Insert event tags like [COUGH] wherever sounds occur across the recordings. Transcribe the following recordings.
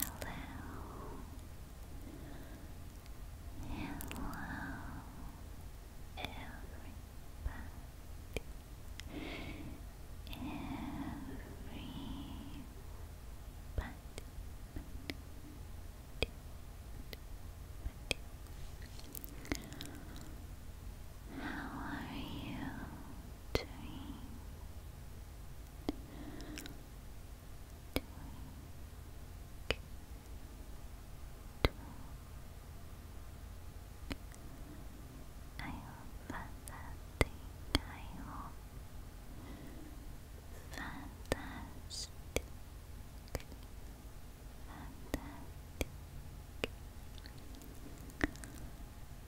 Hello. Hello, everybody. Everybody. How are you? three, twink, twink. I hope fantastic, I hope fantastic,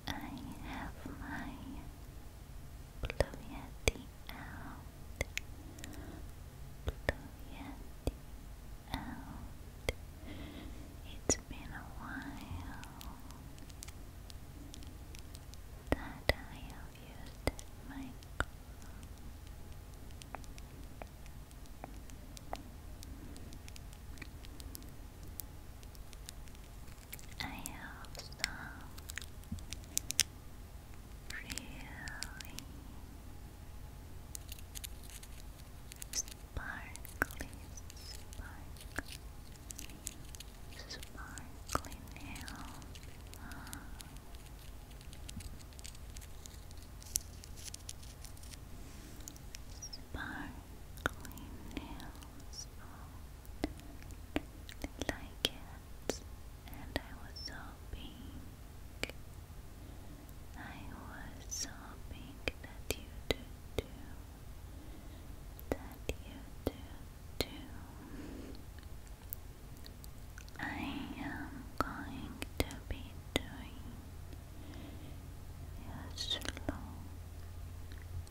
I have my Blue Yeti out. Blue Yeti out. It's been a while that I have used my I have some really sparkly, sparkly, sparkly nails. Ah. nails really like it, and I was hoping, I was hoping that you do too, that you do too. I am going to be doing a slow.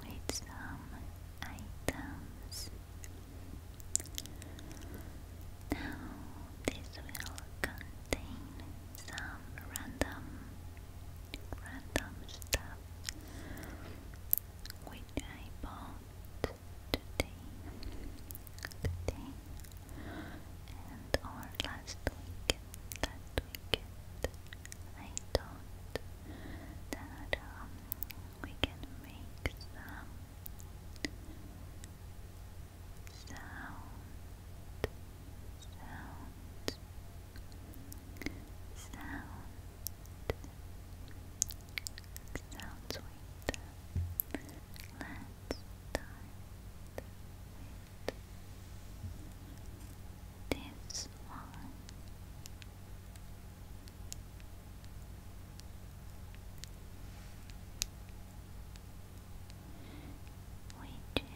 with some items. Now, this will contain some random, random stuff which I bought today, today, and or last week that we get. I that we can make some sound, sound, sound, sound sweet. Let's with this one. Which is vitamin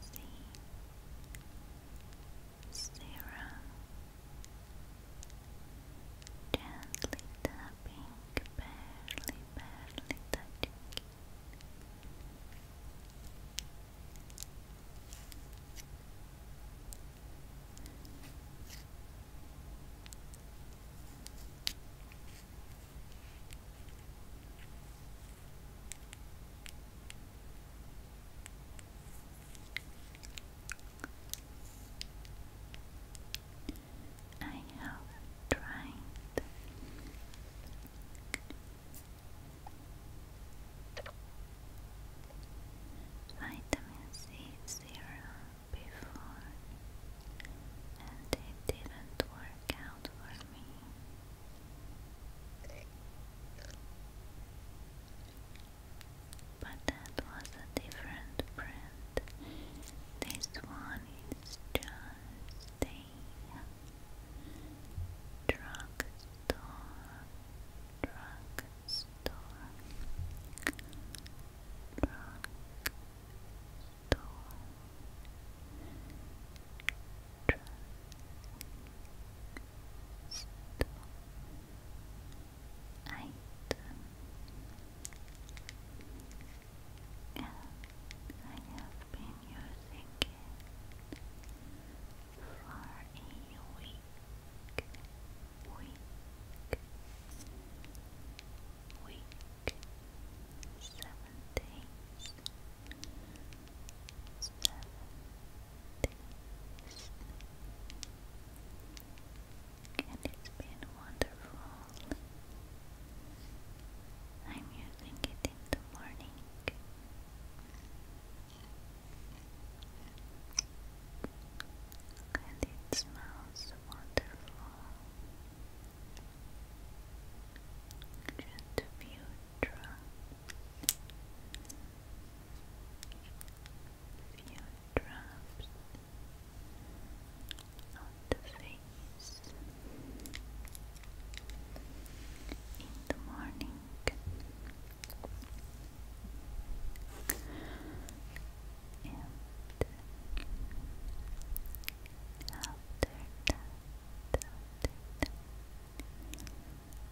C zero, gently tapping, barely, barely touching. I have tried vitamin C serum before and it didn't work out for me. But that was a different print. This one is just a drugstore, drugstore, drugstore, eight and I have been using it for a week week week seven days and it's been wonderful. I'm using it in the morning. And it smells wonderful. Just a few drops on the face in the morning. And after that, after that,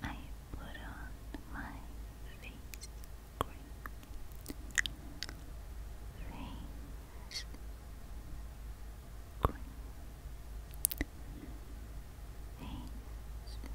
I put on my face cream. Face cream. Face cream. Scratch. Scratch. Scratch.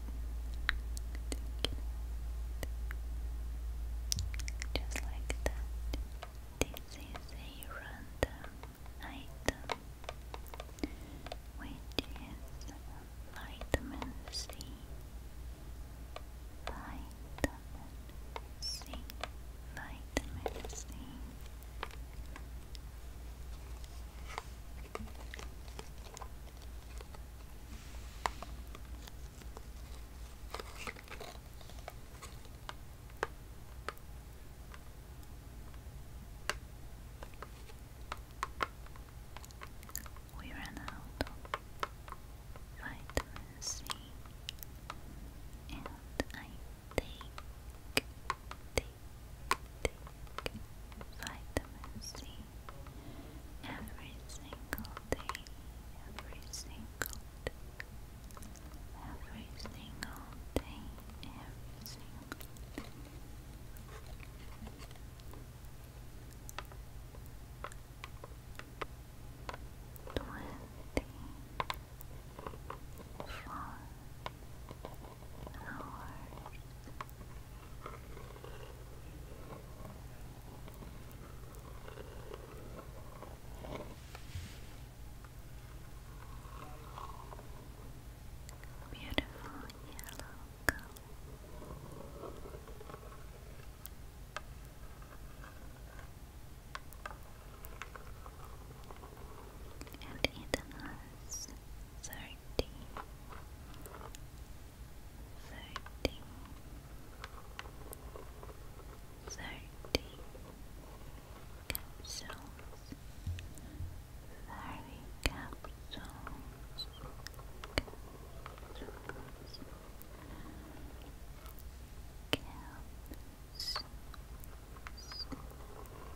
Just like that. This is a random item, which is vitamin C. Vitamin C. Vitamin C. We ran out of vitamin C, and I think take, take vitamin C every single day, every single every single day, every single day. Twenty four hours. Beautiful yellow color. And Ethan plus thirty, thirty, thirty capsules, thirty Caps, caps, caps,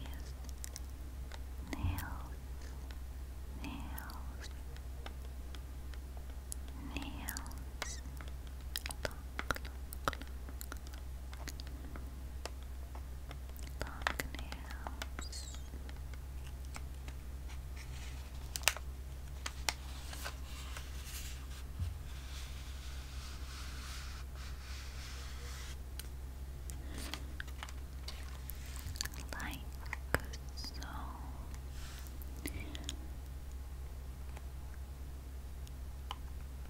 yes, nails, nails, nails, look, look, look, Nails, like so.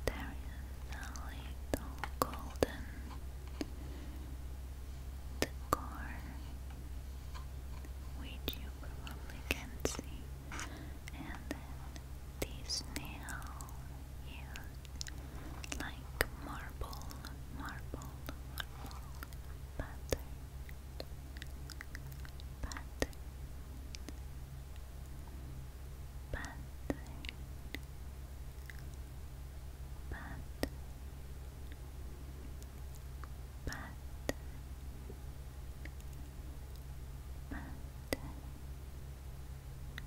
There is a little golden decor which you probably can see, and this nail is like marble, marble, marble pattern, pattern, pattern, pattern, pattern, pattern but,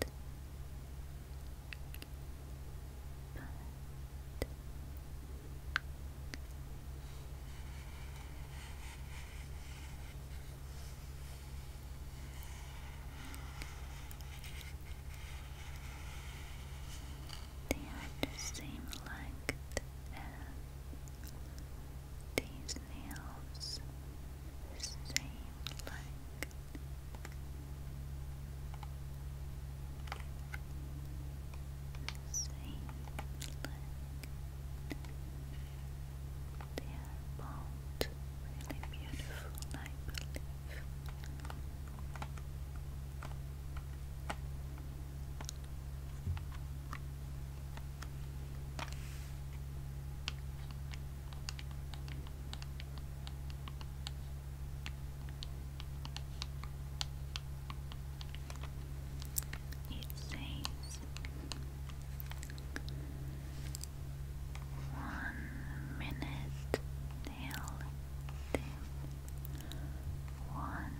but. They are the same length as nails seem like seem like they are both really beautiful, it says one minute till one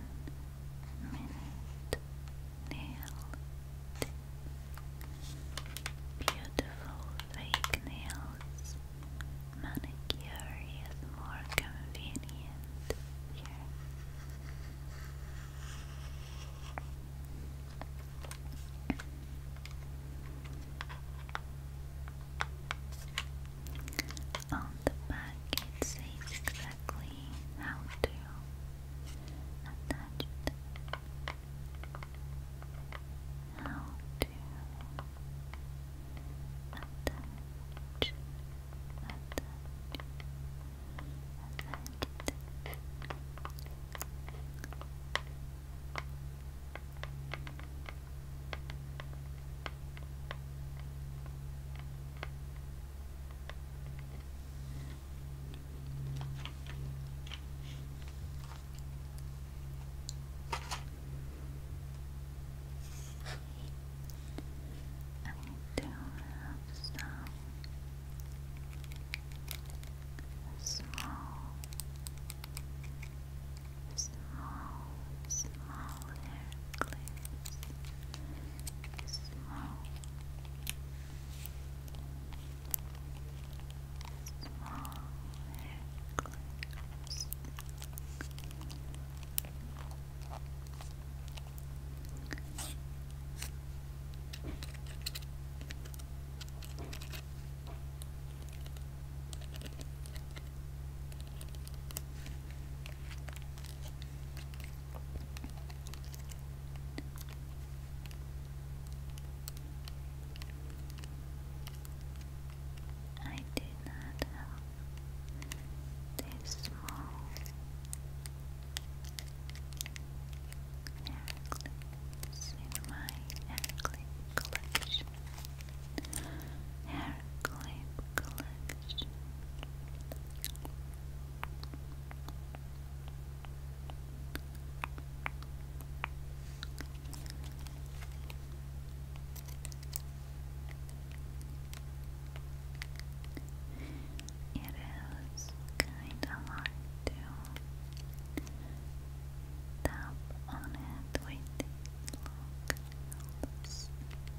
minute nail dip. Beautiful fake nails. Manicure is more convenient On the back, it says exactly how to attach it how to attach, attach, attach. And you do have small, small, small hair clips. Small small hair clips. I do not have this small hair clips in my hair clip collection. Hair clip collection. It is kind of hard to tap on it with these long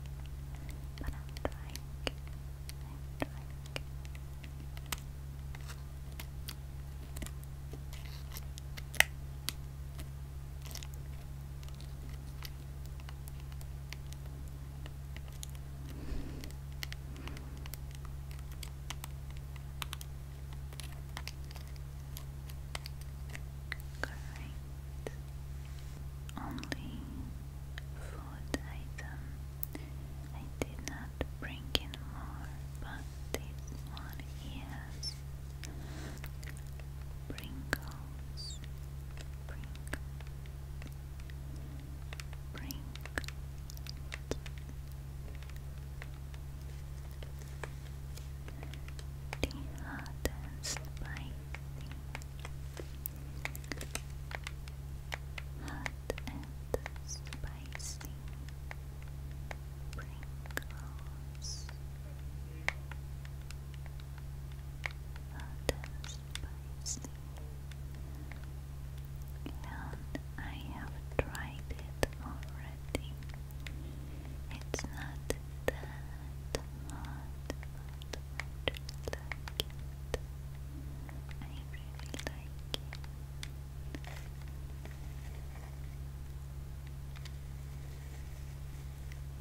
but I'm Correct. Only food item I did not bring in more, but this one is Pringles. Bring, bring. The hot and and spicy Pringles. and spicy. And I have tried it already. It's not that hot, but I really I really like it.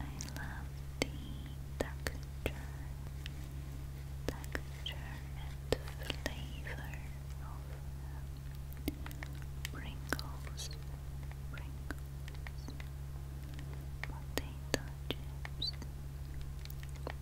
I love the texture, texture and flavor of Pringles, Pringles, potato chips, Pringles,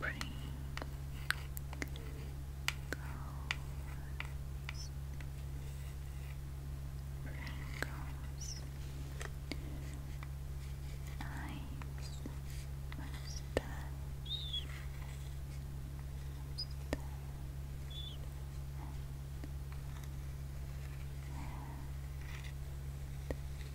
Green goes, green goes. Eyes, mustache, mustache, and head.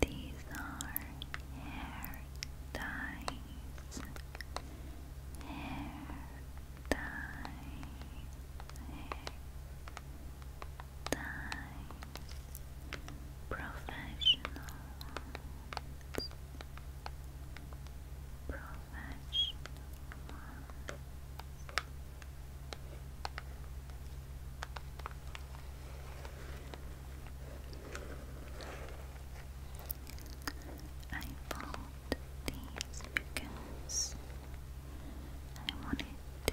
These are hair dyes, hair dyes, hair dyes professional ones, professional I bought these because I wanted to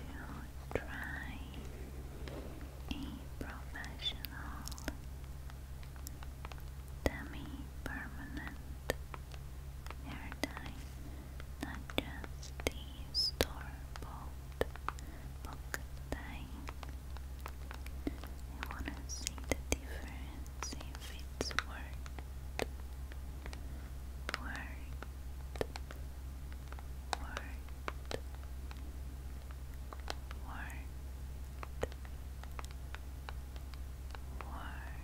try a professional semi-permanent hair dye, not just the store-bought book dye. wanna see the difference if it's worth worth worth warmth, warmth,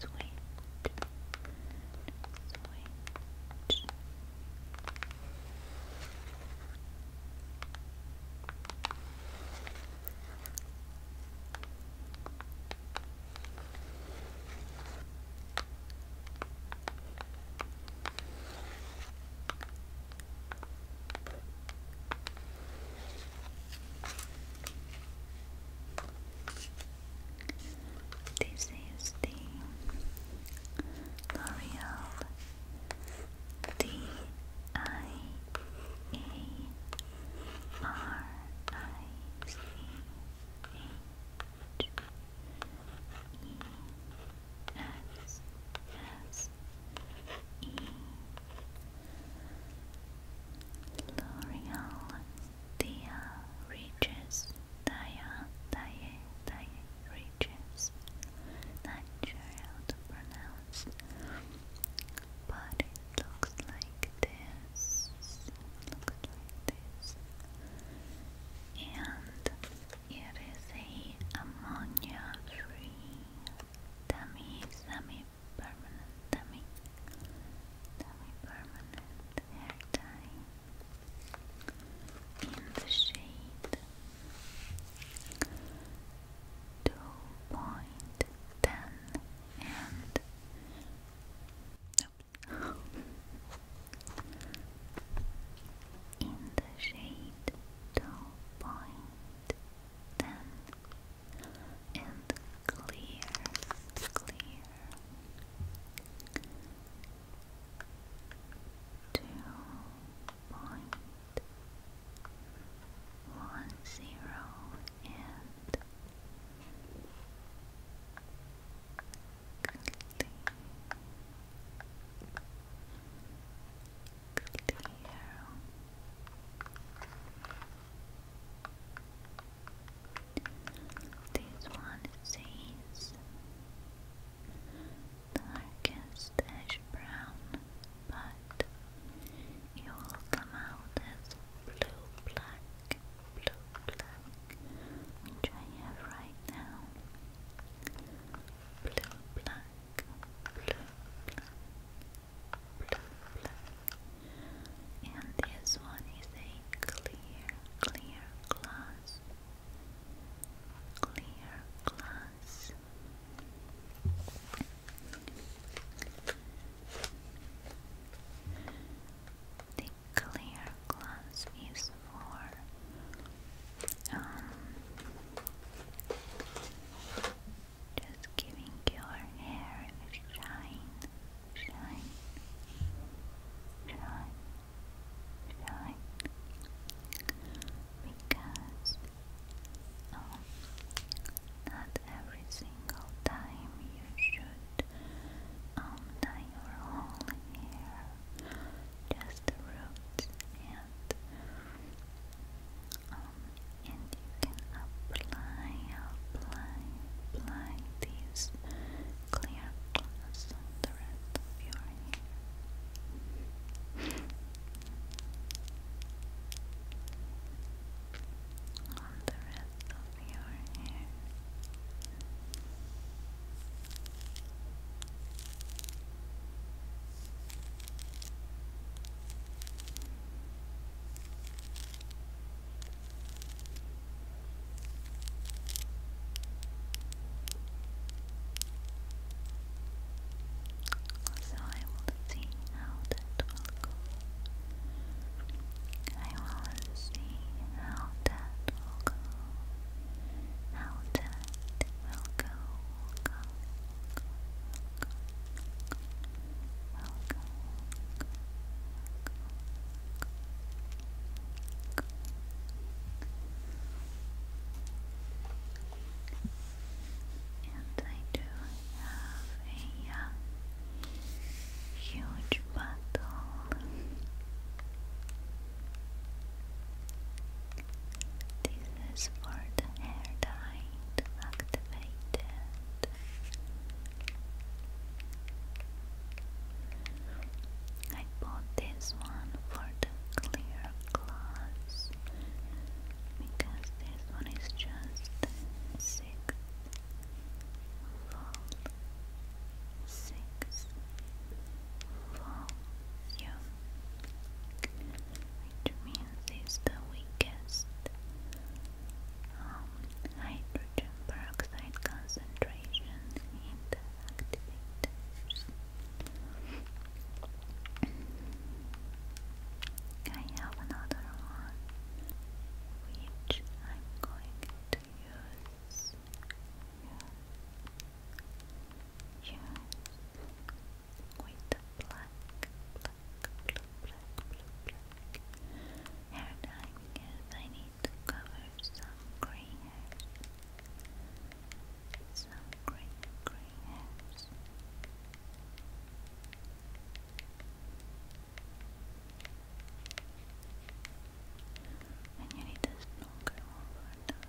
sweet, sweet. This is the L'Oreal D I A R I C H E S S E L'Oreal Dia Reaches Dia Dia Dia Reaches Not sure how to pronounce but it looks like this looks like this and it is a ammonia-free dummy, semi-permanent dummy, dummy-permanent hair dye in the shade two point ten and [LAUGHS] in the shade Dull and clear, clear. Two point one zero and clear, this one says darkest brown, but you will come out as blue black, blue black, which I have right now blue, black, blue, black, blue, black. And this one is a clear, clear glass, clear glass. The clear glass is for um, just giving your hair shine, shine, shine, shine, because um, not every single time you should um, dye your whole hair just the roots and um and you can apply apply apply these clear gloss on the rest of your hair on the rest of your hair. So I will see how that will go. I will see how that will go how that will go, will go, will go, will go, will this is for the hair dye activated. I bought this one for the clear glass because this one is just six yeah, which means it's the um, hydrogen peroxide concentration in I have another one which I'm going to use yes, yes, with the black, black, black, black hair dye because I need to cover some grey hairs, some grey, grey hairs. And you need a stronger one for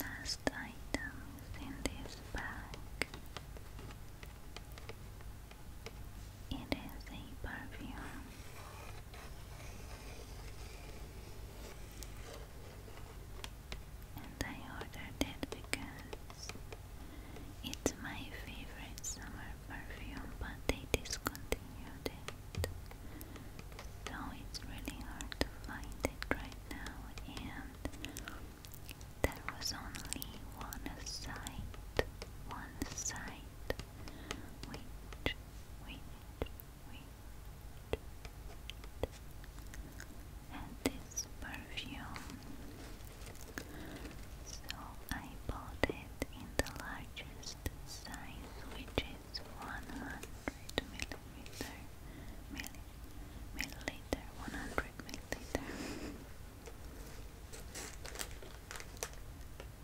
Last items in this bag. It is a perfume. And I ordered it because it's my favorite summer perfume, but they discontinued it. So it's really hard to find it right now, and there was only one site, one site, which, which, which and this perfume. So I bought it in the largest size, which is 100 milliliter, milliliter, 100 milliliter.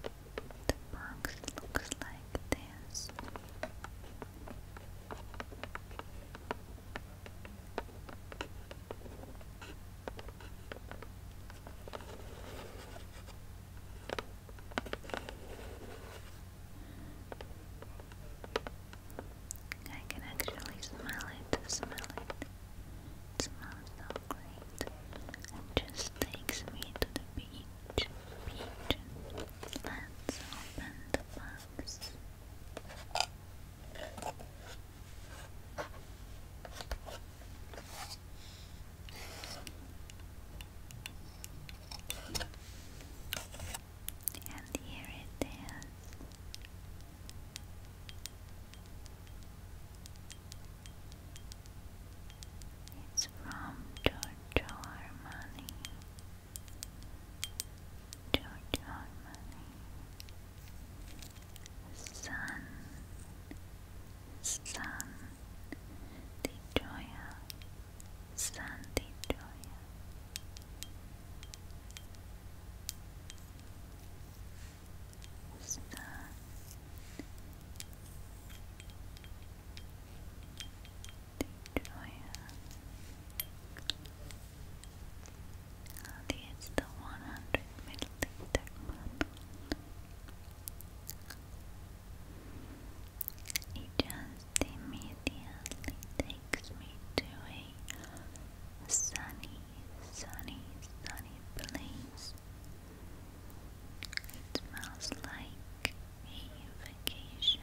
The box looks like this. I can actually smell it, smell it. It smells so great. It just takes me to the beach. Beach. Let's open the bottle first. And here it is. It's from Giorgio Armani. George Harmony Sun Sun Detroya Sun Detroya that is the 100 milliliter bottle. It just immediately takes me to a sunny, sunny, sunny place. It smells like a vacation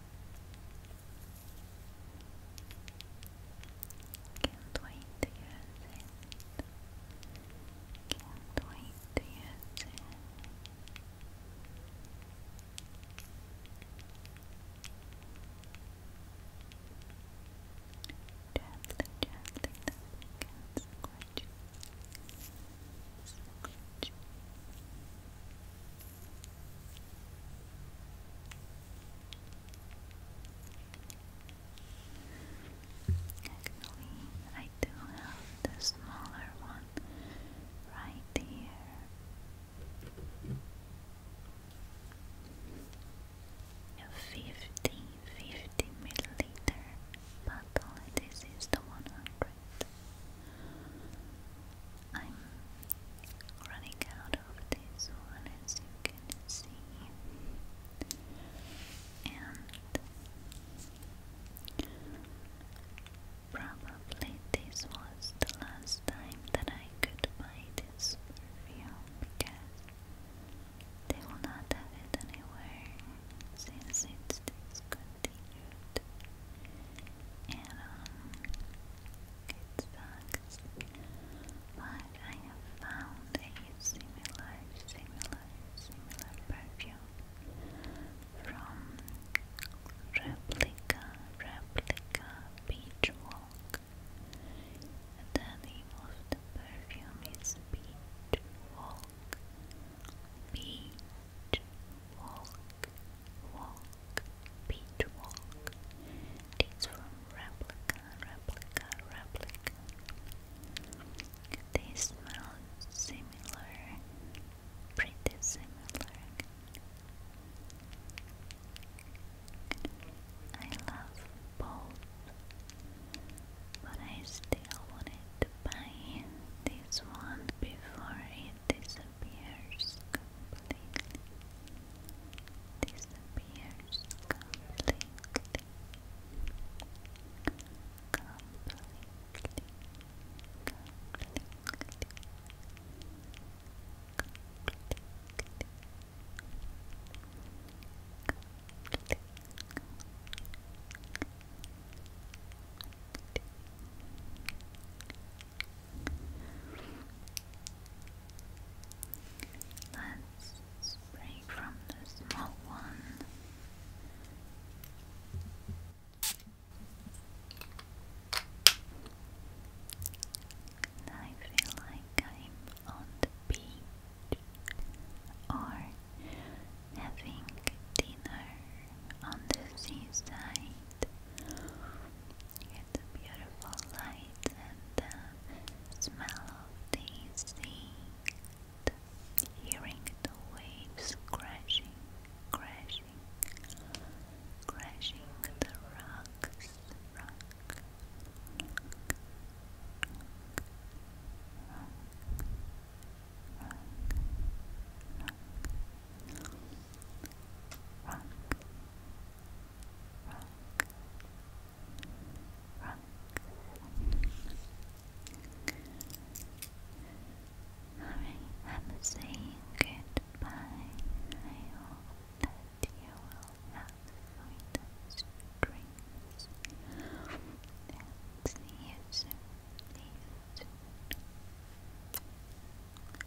Can't wait to use it. Can't wait to use it. Gently, gently, nothing Actually, I do have the smaller one right here. A 50 milliliter bottle, this is the 100 but I'm running out of this one as you can see and probably this was the last time that I could buy this perfume because they will not have it anywhere since it's this continued. And, um, it But I have found a similar, similar, similar perfume from Replica, Replica Beach Walk. The name of the perfume is Beach B beach walk, walk, beach walk. It's from replica, replica, replica. They smell similar, pretty similar. I love both, but I still wanted to buy this one before it disappears completely disappears completely completely completely completely Completely, completely, Let's break from the small one. I feel like I'm on the beach or having dinner on the seaside. It's a beautiful light and the smell of the sea. hearing the waves crashing, crashing, crashing the rocks, rock, I'm saying goodbye. I hope you will have sweetest dreams. And see you soon. See you soon.